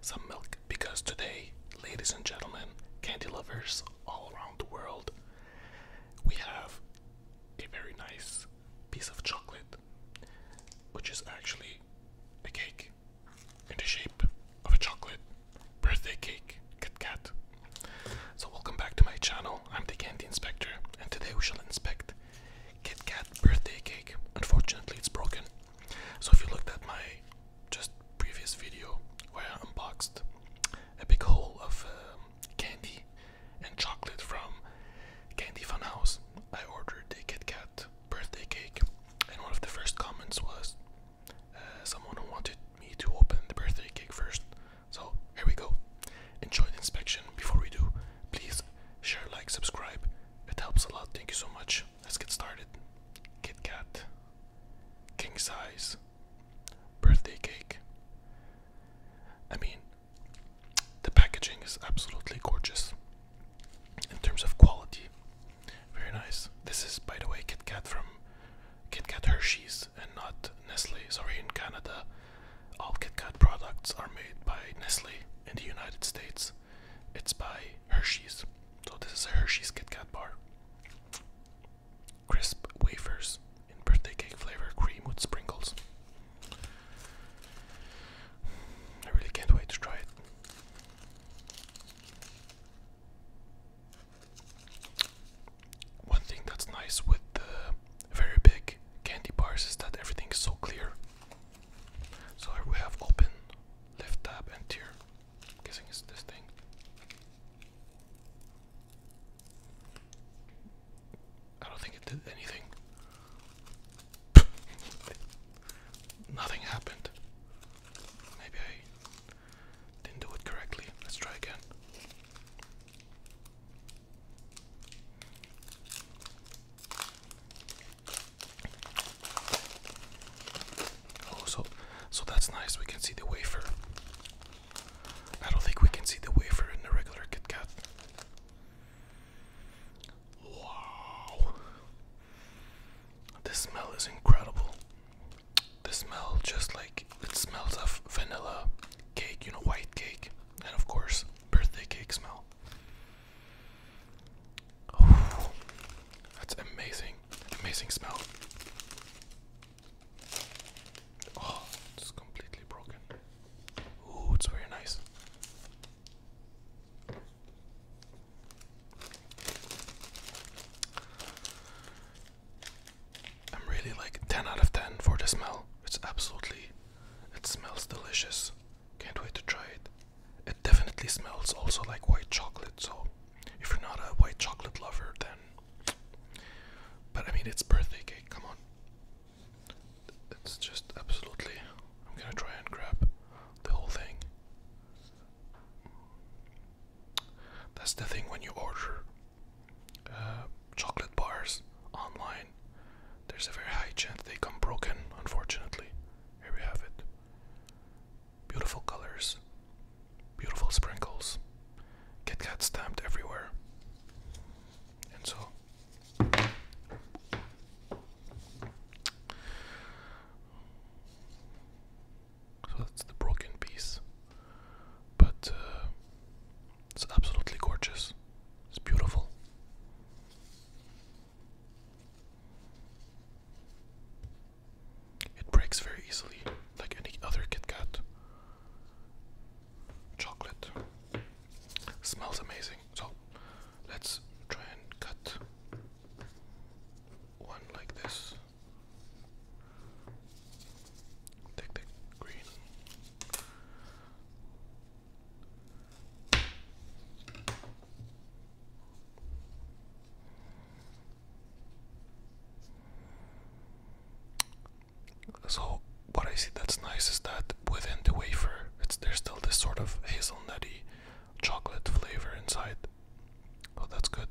Some milk because today, ladies and gentlemen, candy lovers all around the world, we have a very nice piece of chocolate, which is actually a cake in the shape of a chocolate birthday cake, Kit Kat. So, welcome back to my channel. I'm the Candy Inspector, and today we shall inspect Kit Kat birthday cake. Unfortunately, it's broken. So if you looked at my just previous video where I unboxed a big hole of um, candy and chocolate from Candy Fun House, I ordered a Kit Kat birthday cake, and one of the first comments was uh, someone who wanted me to open the birthday cake first. So here we go. Enjoy the inspection. Before we do, please share, like, subscribe. It helps a lot. Thank you so much. Let's get started. Kit Kat, king size, birthday cake. I mean, the packaging is absolutely gorgeous in terms of quality. Very nice. This is, by the way, Kit Kat from Kit Kat Hershey's and not Nestle. Sorry, in Canada, all KitKat products are made by Nestle in the United States. It's by Hershey's. So this is a Hershey's KitKat bar. Crisp wafers in birthday cake flavor cream with sprinkles. I really can't wait to try it one thing that's nice with the very big candy bars is that everything is so clear. So we have open, left tab, and tier. guessing it's this thing. I don't think it did anything. Nothing happened. Maybe I didn't do it correctly. Let's try again. Oh, so so that's nice. We can see the wafer. I don't think we can see the wafer in the regular Kit Wow. This smell is incredible the smell just like it smells of vanilla cake, you know, white cake, and of course, birthday cake smell. Oh, that's amazing, amazing smell. Oh, it's completely broken. Oh, it's very nice. I'm really like 10 out of 10 for the smell. It's absolutely, it smells delicious. Can't wait to try it. It definitely smells also like white chocolate, so if you're not a white chocolate lover, then. But I mean, it's birthday cake, come on. It's just absolutely. I'm gonna try and grab the whole thing. That's the thing when you order uh, chocolate bars online, there's a very high chance they come broken, unfortunately. Here we have it. Beautiful colors, beautiful sprinkles, Kit Kat stamped everywhere. And so, so that's the broken piece. But uh, it's absolutely gorgeous. It's beautiful. It breaks very easily, like any other KitKat. Chocolate smells amazing. So let's try and cut one like this. So what I see that's nice is that within the wafer, it's there's still this sort of hazelnutty chocolate flavor inside. Oh, that's good.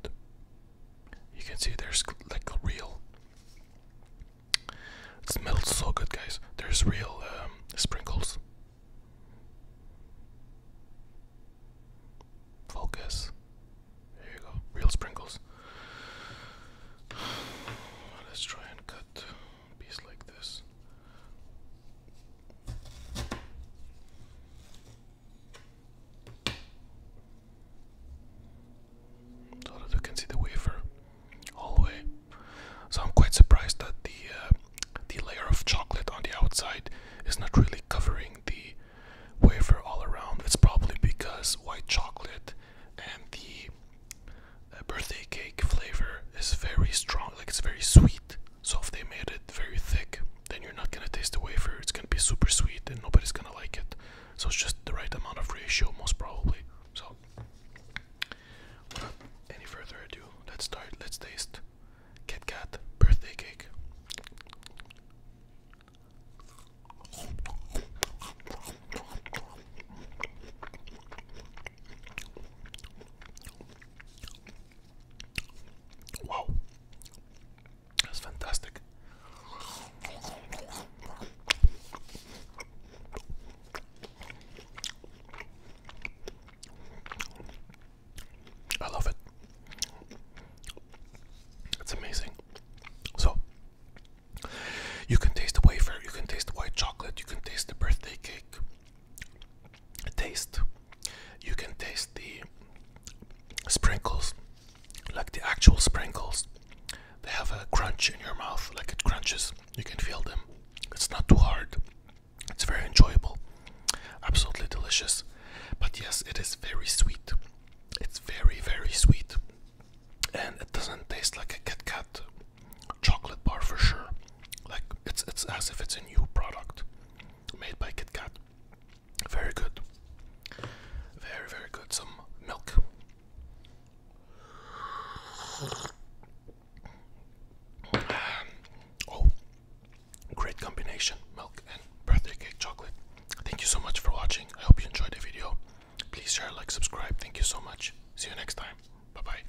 You can see there's like real. It smells so good, guys. There's real um, sprinkles. Focus. There you go. Real sprinkles. Let's try and cut a like this. So that you can see the wafer all the way. So I'm quite surprised that the uh, the layer of chocolate on the outside is not really covering the wafer all around. It's probably because white chocolate and the uh, birthday cake flavor is very strong, like it's very sweet. So if they made it very thick, then you're not gonna taste the wafer. It's gonna be super sweet and nobody's gonna like it. So it's just the right amount of ratio, most probably. So any further ado, let's start. Let's taste Kit Kat birthday cake. Wow, that's fantastic. I love it. That's amazing. So, you can taste the wafer, you can taste the white chocolate, you can taste the birthday cake, taste. You can taste the sprinkles, like the actual sprinkles. They have a crunch in your mouth, like it crunches. You can feel them. It's not too hard. It's very enjoyable. Absolutely delicious. But yes, it is very sweet. It's very, very sweet. And it doesn't taste like a Kit Kat chocolate bar for sure. Like it's it's as if it's a new product made by KitKat. Very good. Very, very good. Some milk. Oh, great combination milk and birthday cake chocolate. Thank you so much for watching. I hope you enjoyed the video. Please share, like, subscribe. Thank you so much. See you next time. Bye bye.